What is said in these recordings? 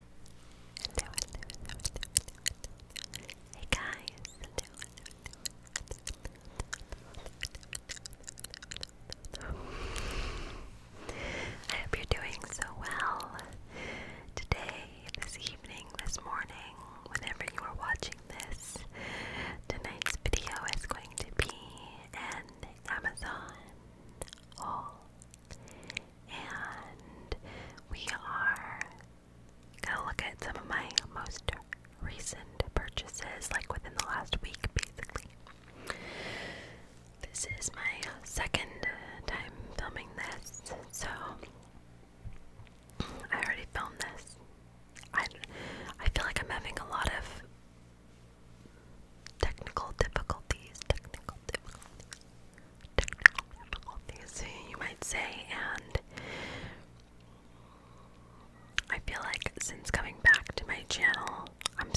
Hello, Hey guys, I hope you're doing so well today, this evening, this morning, whenever you are watching this. Tonight's video is going to be an Amazon haul and we are gonna look at some of my most recent purchases, like within the last week, basically. This is my second time filming this, so I already filmed this. I I feel like I'm having a lot of technical difficulties. Technical difficulties you might say, and I feel like since coming back to my channel, I'm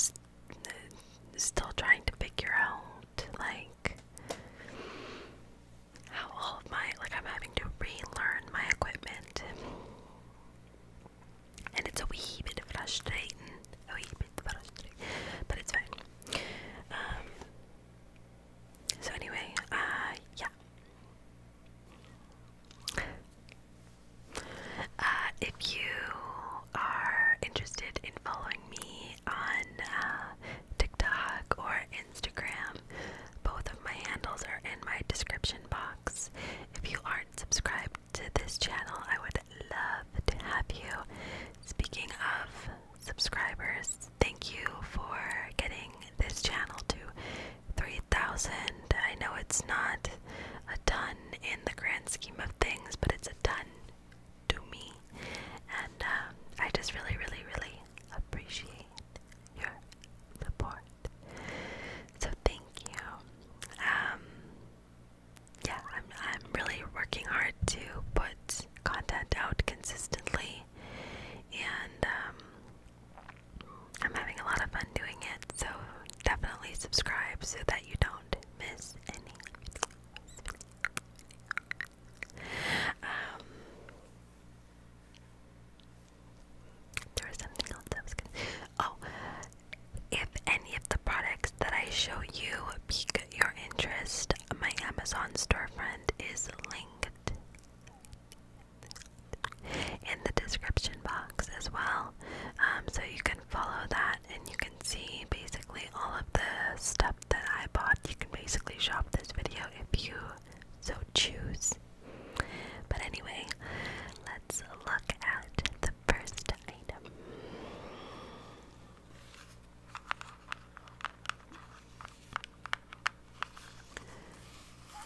still trying to figure out like how all of my like I'm having to relearn my equipment, and it's a wee bit frustrating. Oh, he beat the battle but it's fine. Um, so anyway, uh, yeah. Uh, if you are interested in following me on uh, TikTok or Instagram, both of my handles are in my description box. If you aren't subscribed to this channel, I would love to have you. Speaking of subscribers, thank you for getting this channel to 3,000. I know it's not a ton in the grand scheme of things, but it's a ton to me. And um, I just really, really, really appreciate your support. So thank you. Um, yeah, I'm I'm really working hard to put content out consistently, and um, I'm having a lot of fun doing it. So definitely subscribe so that you don't miss any. Um, there was something else Oh, if any of the products that I show you pique your interest, my Amazon storefront is linked in the description box as well. Um, so you can follow that and you can see basically all of the stuff that I bought. You can basically shop this video if you so choose. But anyway, let's look at the first item.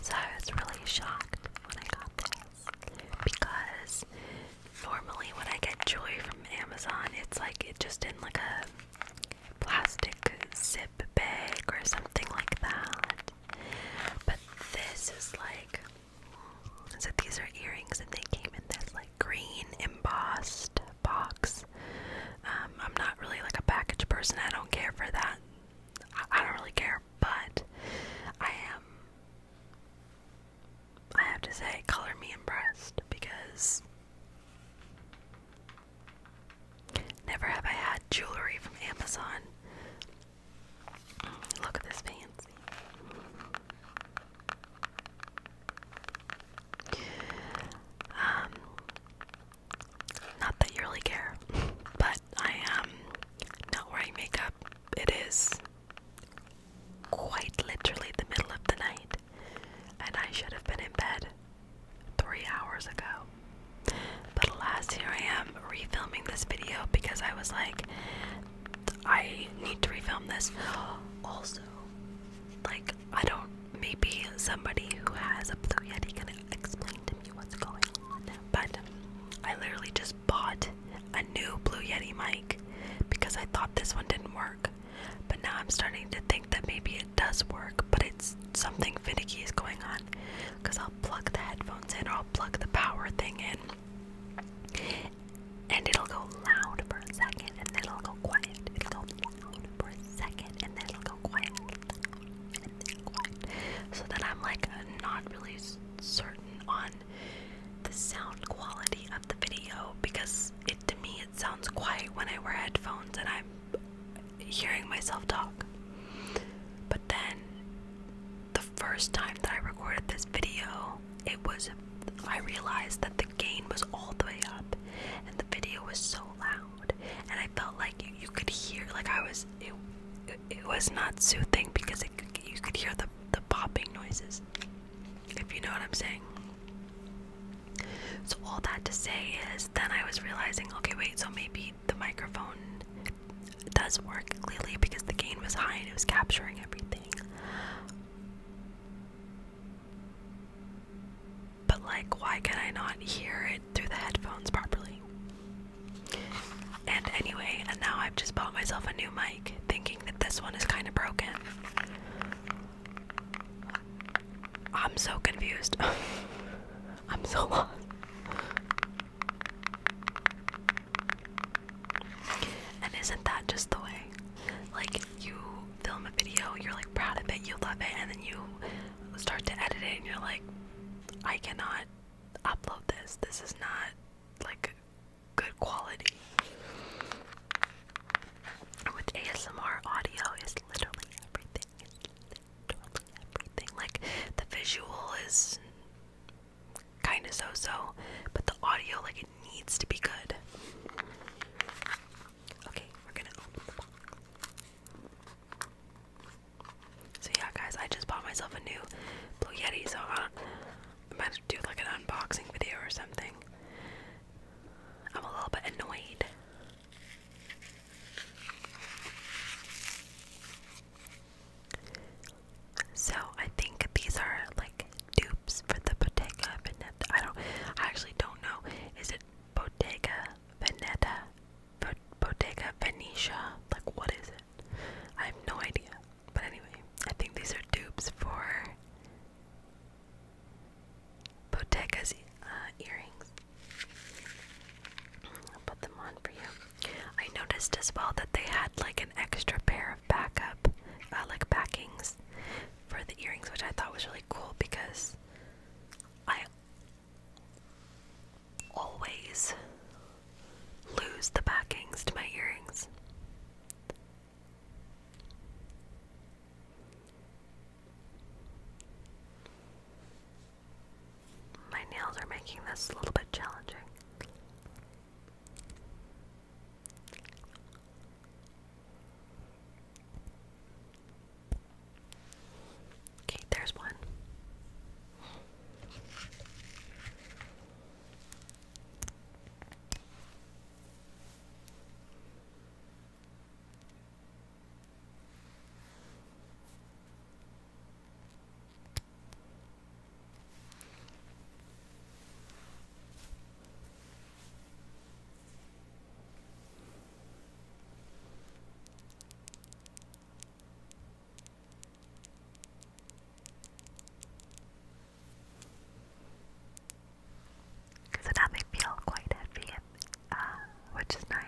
So I was really shocked when I got this because normally when I get joy from Amazon, it's like it just in like a plastic zip bag or something like that. But this is like so these are earrings, and they came in this like green embossed box. Um, I'm not really like a package person. I don't care for that. I, I don't really care, but I am. I have to say, color me impressed because never have I had jewelry from Amazon. Look at this fancy. Um, not that you really care, but I am not wearing makeup. It is quite literally the middle of the night, and I should have been in bed three hours ago. But alas, here I am refilming this video because I was like, I need to refilm this. Also, like, I don't, maybe somebody who has a Blue Yeti can explain to me what's going on. But I literally just bought a new Blue Yeti mic because I thought this one didn't work. But now I'm starting to think that maybe it does work, but it's something finicky is going on. Because I'll plug the headphones in or I'll plug the power thing in and it'll go loud for a second and then it'll go quiet. It'll go loud for a second and then it'll go quiet. And then quiet. So that I'm like not really certain on the sound quality of the video because it to me it sounds quiet when I wear headphones and I'm hearing myself talk. But then the first time that I recorded this video, it was I realized that the gain was all the way up and the video was so loud and I felt like you, could hear like I was it, it, was not soothing because you could hear the the popping noises if you know what I'm saying. So all that to say is then I was realizing okay wait so maybe the microphone does work clearly because the gain was high and it was capturing everything. But, like, why can I not hear it through the headphones properly? And anyway, and now I've just bought myself a new mic, thinking that this one is kind of broken. I'm so confused. I'm so lost. And isn't that just the way? Like, you film a video, you're like proud of it, you love it, and then you start to edit it, and you're like, I cannot upload this. This is not like good quality. With ASMR audio is literally everything. It's literally everything. Like the visual is kind of so so, but the audio, like, it needs to be good. Okay, we're gonna So, yeah, guys, I just bought myself a new Blue Yeti, so I'm, i to do like an unboxing video or something. I'm a little bit annoyed. So I think these are like dupes for the Bottega Veneta. I don't, I actually don't know. Is it Bottega Veneta? Bottega Venetia? Like what is it? I have no idea. But anyway, I think these are dupes for Bottega's uh, earrings. I'll put them on for you. I noticed as well that they had like an extra pair of backup, uh, like backings for the earrings, which I thought was really cool because I always lose the backings to my earrings. My nails are making this a little bit challenging. Okay, there's one. So now they feel quite heavy, uh, which is nice.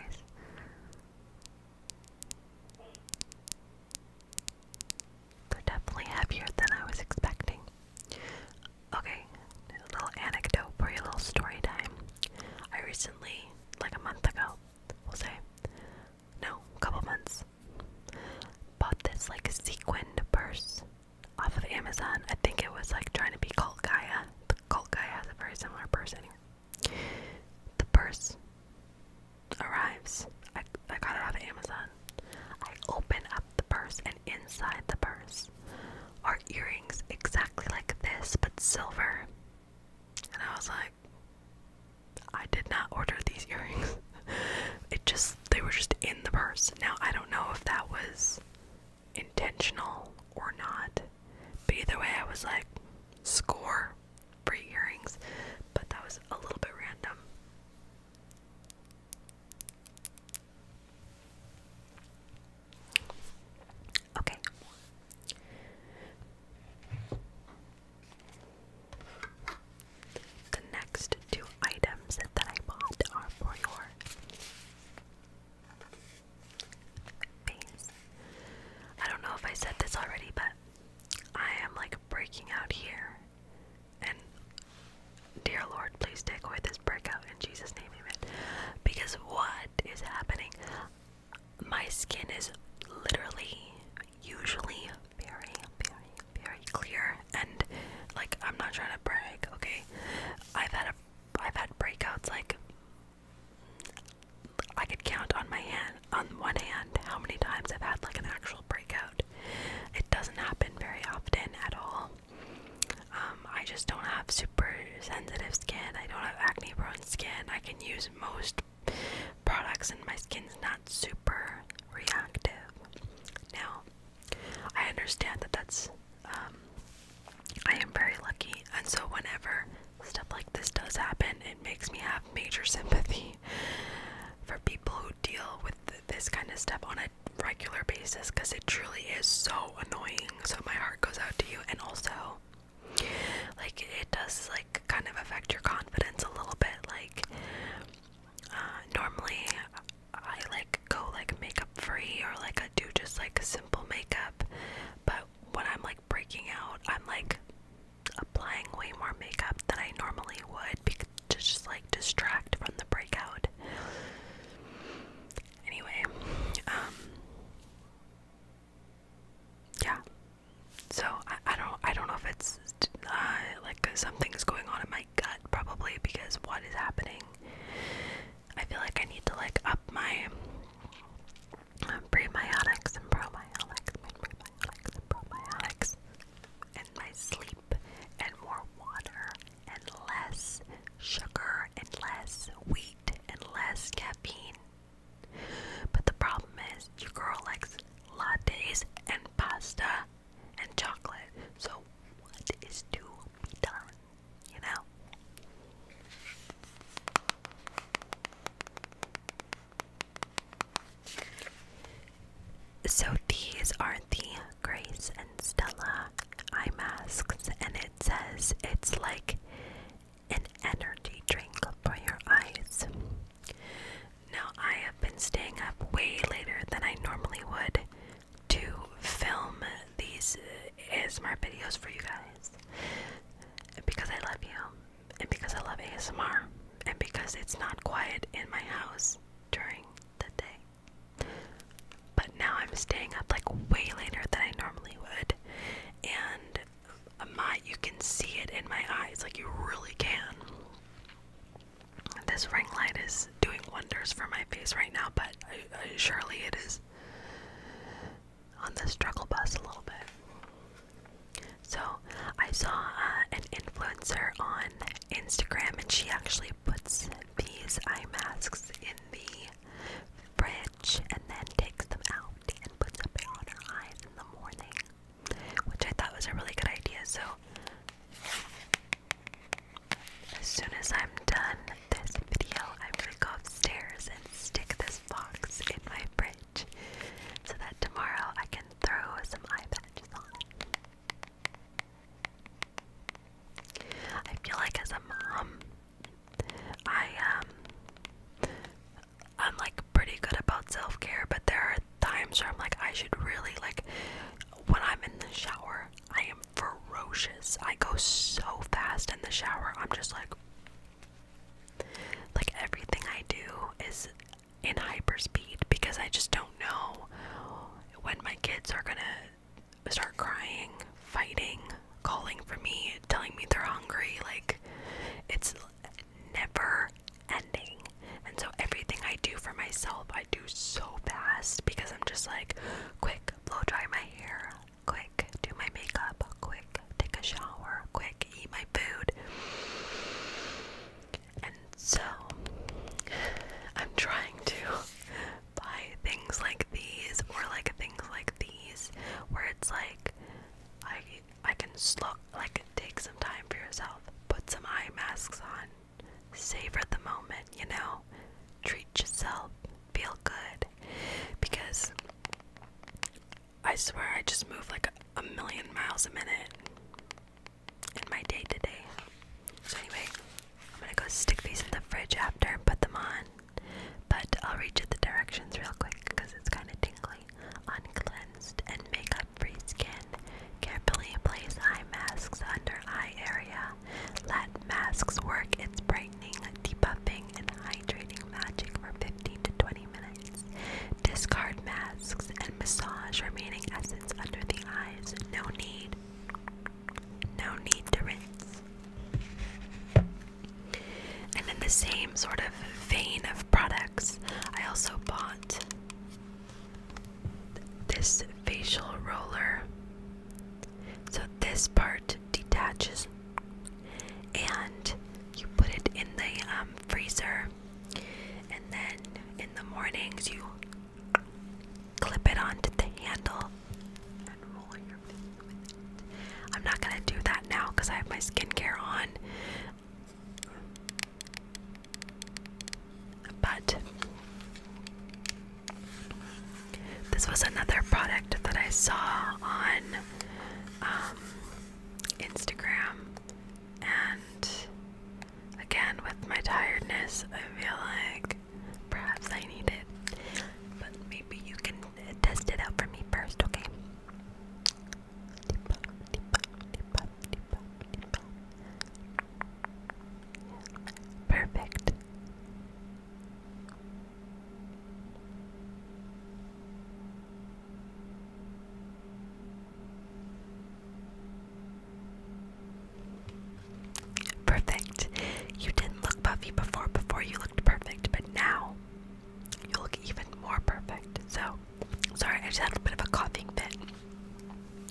They're definitely heavier than I was expecting. Okay, little anecdote for your little story time. I recently, like a month ago, we'll say, no, a couple months, bought this like sequined purse off of Amazon. I think it was like trying to be Cult The Cult has a very similar purse The purse arrives. I, I got it off Amazon. I open up the purse, and inside the purse are earrings exactly like this, but silver. And I was like, I did not order these earrings. it just, they were just in the purse. Now, I don't know if that was intentional or not, but either way, I was like, score free earrings, but that was a little bit random. Okay. The next two items that I bought are for your face. I don't know if I said this already, but I am like breaking out here. And dear Lord, please take away this breakout in Jesus' name, amen. Because what is happening? My skin is literally, usually very, very, very clear. And like, I'm not trying to brag, okay? I've had a, I've had breakouts like I could count on my hand hand, on one hand, how many times I've had like an actual breakout. It doesn't happen very often at all. Um, I just don't have super sensitive skin. I don't have acne-prone skin. I can use most products, and my skin's not super reactive. Now, I understand that that's. Um, I am very lucky, and so whenever stuff like this does happen, it makes me have major sympathy for people who deal with this kind of stuff on a regular basis because it truly is so annoying. So my heart goes out to you, and also, like, it does like kind of affect your confidence a little bit. Like, uh, normally I like go like makeup free or like I do just like simple makeup, but when I'm like breaking out, I'm like applying way more makeup than I normally would just like distract from the breakout. Anyway, um, yeah. So I, I don't I don't know if it's uh, like something's going on in my gut probably because what is happening? I feel like I need to like up my prebiotics and probiotics, my and my sleep, and more water, and less sugar, and less wheat, and less caffeine. But the problem is, your girl likes lattes and pasta and chocolate. So, what is to be done? You know? So these are the Grace and Stella eye masks, and it says it's like an energy drink for your eyes. Now, I have been staying up way later than I normally would to film these uh, ASMR videos for you guys because I love you and because I love ASMR, and because it's not quiet in my house during the day. But now I'm staying up like way later than I normally would, and uh, my you can see it in my eyes, like you really can. This ring light is doing wonders for my face right now, but uh, uh, surely it is on the struggle bus a little bit. So I saw uh, an influencer on Instagram, and she actually puts these eye masks in the fridge and then takes them out and puts them on her eyes in the morning, which I thought was a really good idea. So as soon as I'm done this video, I'm gonna go upstairs and stick this box in my fridge so that tomorrow I can throw some eye patches on. I feel like as a mom, I um I'm like pretty good about self-care, but there are times where I'm like I should really like when I'm in the shower, I am ferocious. I go so fast in the shower. I'm just like like everything I do is in hyperspeed because I just don't know when my kids are gonna start crying, fighting, calling for me, telling me they're hungry. Like it's never ending. And so everything I do for myself, I do so fast because I'm just like, quick, blow dry my hair, quick, do my makeup, quick take a shower, quick, eat my food. And so I'm trying to buy things like these or like things like these where it's like I I can slow like take some time for yourself, put some eye masks on, savor the moment, you know, treat yourself, feel good because I swear I just move like a million miles a minute in my day to day. So, anyway, I'm gonna go stick these in the fridge after and put them on. But I'll read you the directions real quick because it's kind of tingling. On cleansed and makeup free skin, carefully place eye masks under eye area. Let masks work its brightening, debuffing, and hydrating magic for 15 to 20 minutes. Discard masks and massage remaining essence under the eyes. No need. No need to rinse. And in the same sort of vein of products, I also bought this facial roller. So, this part detaches and you put it in the um, freezer and then in the mornings you clip it onto the handle I'm not gonna do that now because I have my skincare on. But this was another product that I saw on um, Instagram, and again, with my tiredness, I feel like perhaps I need it. But maybe you can test it out for me first, okay? Perfect. Perfect. You didn't look puffy before. Before you looked perfect, but now you look even more perfect. So, sorry, I just had a bit of a coughing fit.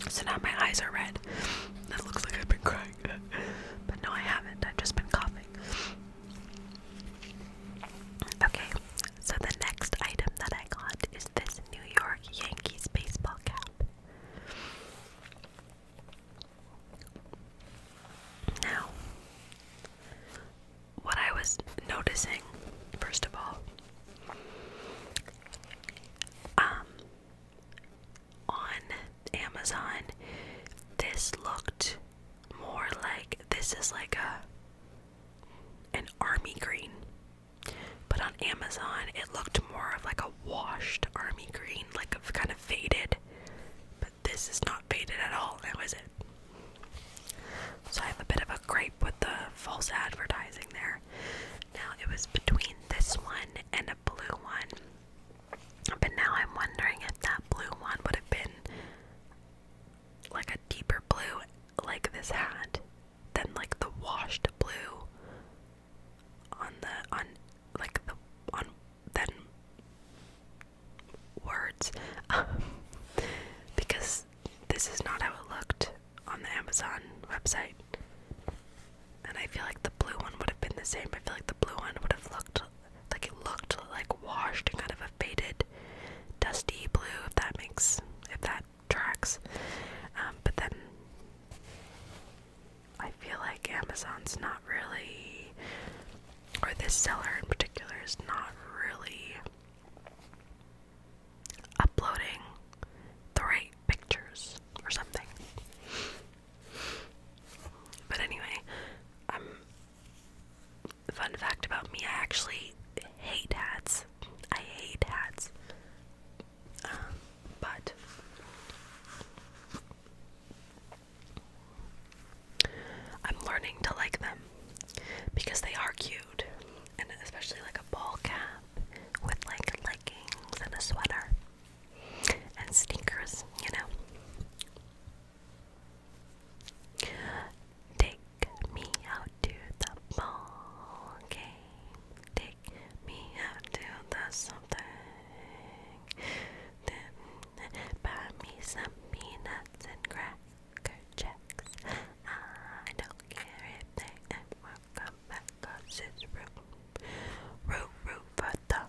So now my eyes are red. That looks like I've been crying. but no, I haven't. I've just been coughing. Okay, so the next item that I got is this New York Yankees baseball cap. Now, what I was noticing, first of all, um, on Amazon, this looked more like this is like a an army green. But on Amazon it looked more of like a washed army green, like a kind of faded. But this is not faded at all, now is it? So I have a bit of a gripe with the false advertising there. Now it was between this one and a blue one. But now I'm wondering if that blue one would have been like a deeper blue like this hat than like the washed blue on the on like the on then words because this is not how it looked on the Amazon website and I feel like the blue one would have been the same I feel like the blue one would have looked like it looked like washed and kind of a faded dusty blue if that makes if that tracks um, but then I feel like Amazon's not really or this seller in particular is not really uploading the right pictures or something but anyway I'm um, Fun fact about me, I actually hate hats. I hate hats. Um, but I'm learning to like them because they are cute, and especially like a ball cap with like leggings and a sweater and sneakers, you know. Take me out to the ball game. Take me out to the something. Then buy me some peanuts and cracker checks. I don't care if they ever come back 'cause it's root, root, root for the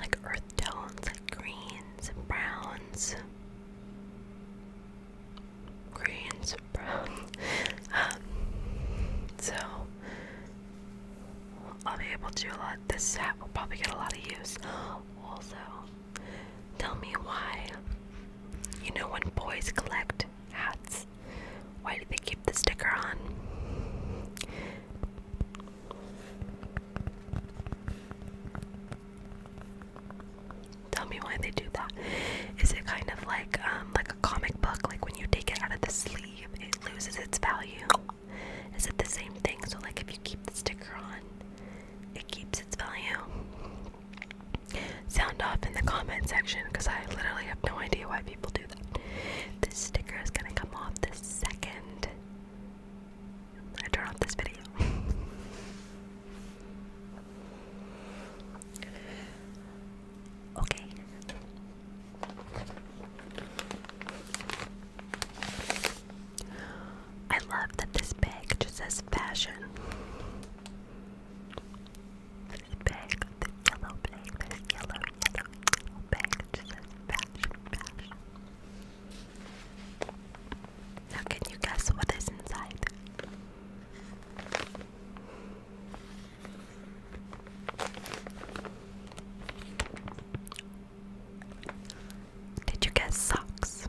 like earth tones, like greens and browns. Greens and browns. Um, so I'll be able to a lot. This set will probably get a lot of use. Also, tell me why. You know, when boys collect hats, why do they keep the sticker on? Tell me why they do that. Is it kind of like um, like a comic book? Like when you take it out of the sleeve, it loses its value. Is it the same thing? So like if you keep the sticker on, it keeps its value. Sound off in the comment section because I literally have no idea why people do that. This sticker is gonna come off the second I turn off this video. okay. I love that this bag just says fashion. This bag, this yellow bag, this yellow, yellow, bag just says fashion, fashion. Now, can you guess what is inside? Did you guess socks?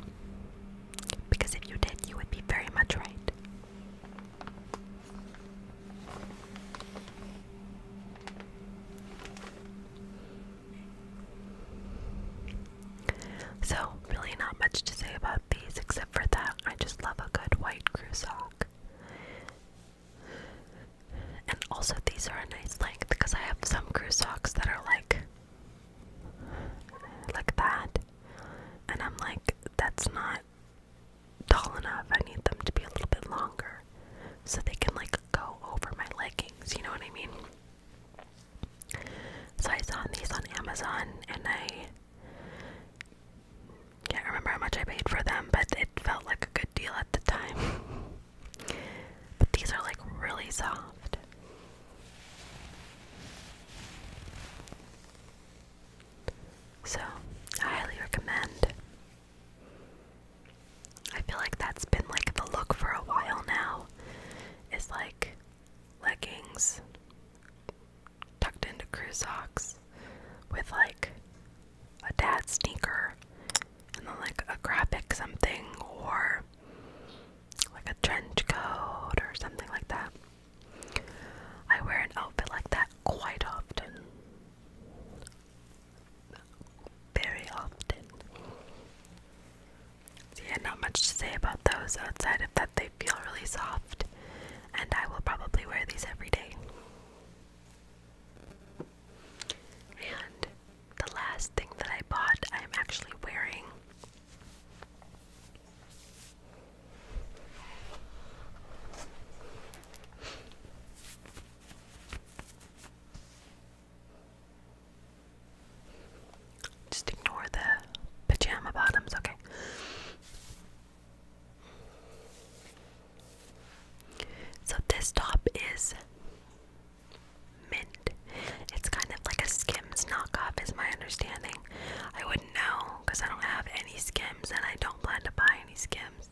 Because if you did, you would be very much right. So, really, not much to say about these except for that I just love a good white crew sock. And also, these are a nice length because I have some crew socks that are like, like that, and I'm like, that's not tall enough. I need them to be a little bit longer so they can like go over my leggings, you know what I mean? So I saw these on Amazon and I can't remember how much I paid for them, but it felt like a good deal at the time. but these are like really soft. So, I highly recommend. I feel like that's been like the look for a while now. It's like leggings tucked into crew socks with like a dad sneaker and then like a graphic something or like a trench coat or something like that. I wear an outfit like that quite often very often. So yeah, not much to say about those outside of that they feel really soft, and I will probably wear these every day. And the last thing that I bought, I'm actually wearing. Just ignore the pajama bottoms, okay? So, this top is mint. It's kind of like a Skims knockoff, is my understanding. I wouldn't know because I don't have any Skims and I don't plan to buy any Skims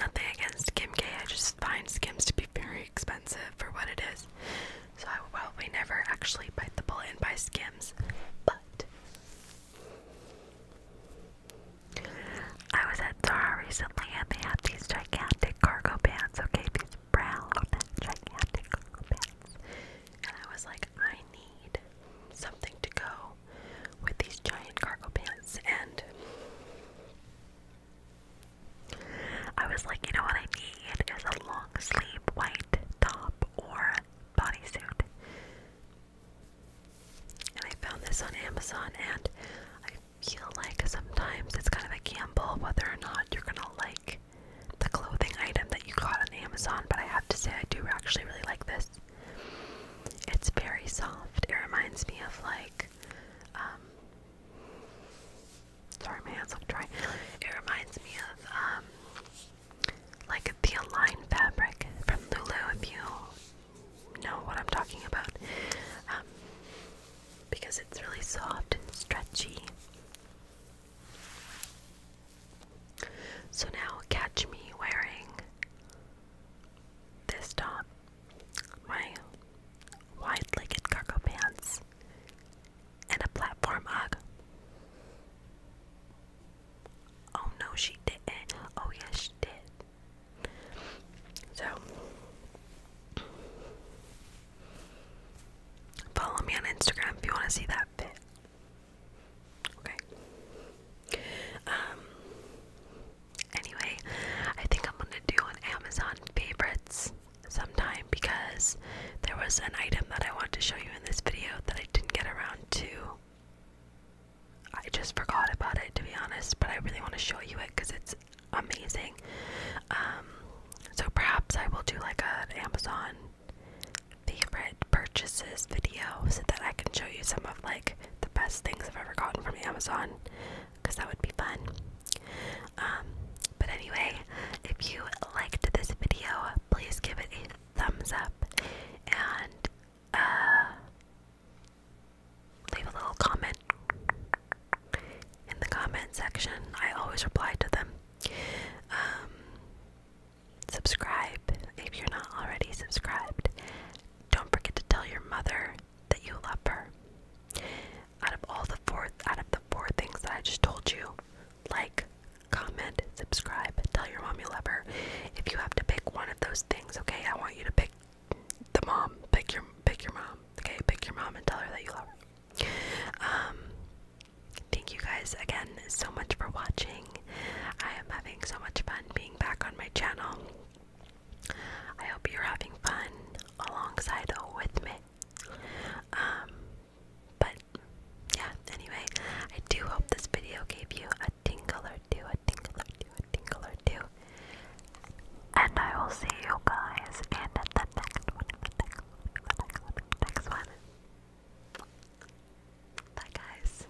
nothing against Kim K. I just find Skims to be very expensive for what it is. So I will probably never actually bite the bullet and buy Skims. But I was at Zara recently and they had these gigantic cargo pants, okay? These brown gigantic cargo pants. And I was like, I need something to go with these giant cargo pants and I was like, you know what I need is a long sleeve white top or bodysuit. And I found this on Amazon, and I feel like sometimes it's kind of a gamble whether or not you're gonna like the clothing item that you got on Amazon, but I have to say, I do actually really like this. It's very soft. It reminds me of like um, sorry, my hands look dry. It reminds me of, um, like the Align fabric from Lulu, if you know what I'm talking about, um, because it's really soft and stretchy. So now, catch me wearing this top my wide-legged cargo pants, and a platform hug. Oh no, she didn't. Oh yes, she did. So, follow me on Instagram if you want to see that fit. Okay. Um, Anyway, I think I'm gonna do an Amazon favorites sometime because there was an item that I want to show you in this video that I didn't get around to. I just forgot about it to be honest, but I really want to show you it because it's amazing. Um, so perhaps I will do like an Amazon favorite purchases video so that I can show you some of like the best things I've ever gotten from Amazon because that would be fun. Um, but anyway, if you liked this video, please give it a thumbs up and uh, leave a little comment in the comment section. I always reply to them. Um, subscribe if you're not already subscribed don't forget to tell your mother that you love her. Out of all the four out of the four things that I just told you, like, comment, subscribe, tell your mom you love her. If you have to pick one of those things, okay, I want you to pick the mom. Pick your pick your mom. Okay, pick your mom and tell her that you love her. Um Thank you guys again so much for watching. I am having so much fun being back on my channel. I hope you're having fun alongside with me. Um, but yeah, anyway, I do hope this video gave you a tingle or two, a tingle or two, a tingle or two. And I will see you guys in the next one, next one. Bye, guys.